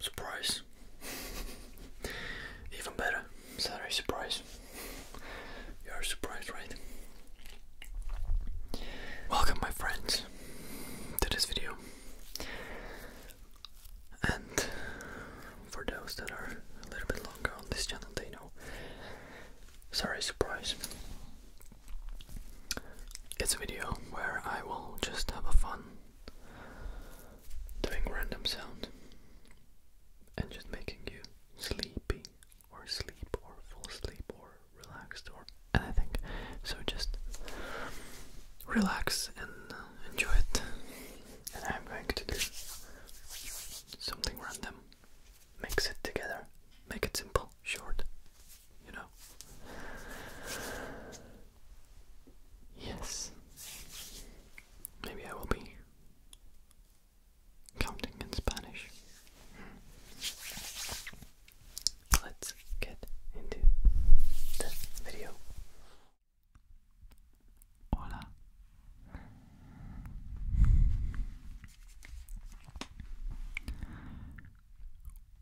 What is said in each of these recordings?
Surprise. Even better. Sorry, surprise. You are surprised, right? Welcome, my friends, to this video. And for those that are a little bit longer on this channel, they know. Sorry, surprise. It's a video where I will just have a fun doing random sound and just making you sleepy or sleep or fall asleep or relaxed or anything. So just relax and enjoy it and I'm going to do something random. Mix it together. Make it simple, short, you know. Yes. Maybe I will be counting in Spanish. Let's get into the video. Hola.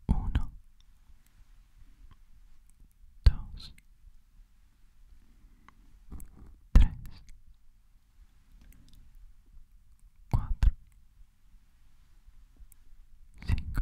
Uno. Dos. Tres. Cuatro. Cinco.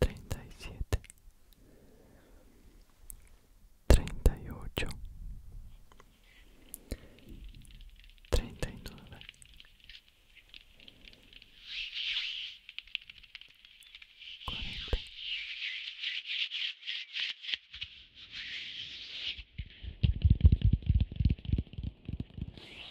treinta y siete treinta y ocho treinta y nueve cuarenta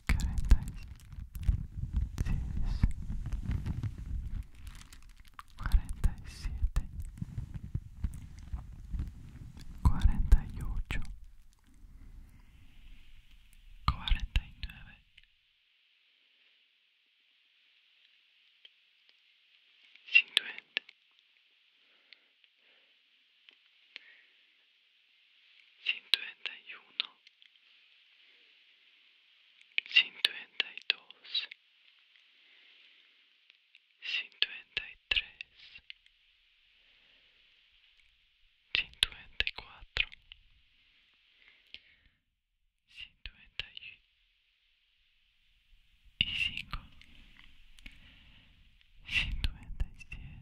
47 48 49 51 cincuenta y dos, cincuenta y tres, cincuenta y cuatro, cinco, cincuenta siete.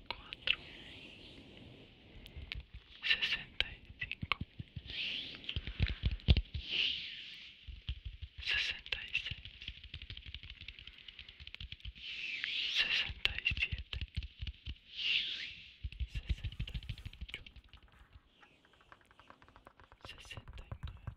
cuatro, sesenta y cinco, sesenta y seis, sesenta y siete, sesenta y ocho, sesenta y nueve.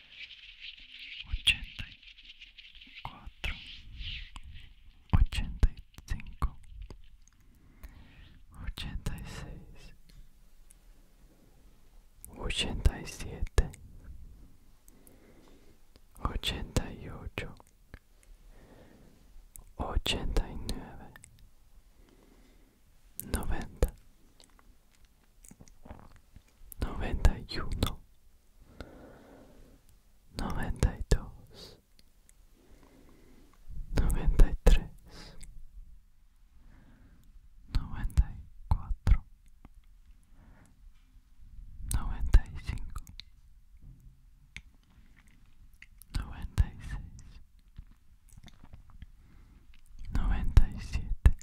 84, 85, 86, 87, 88, 89 noventa, noventa y uno, noventa y dos, noventa y tres, noventa y cuatro, noventa y cinco, noventa y seis noventa y siete,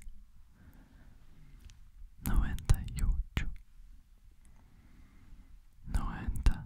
noventa y ocho, noventa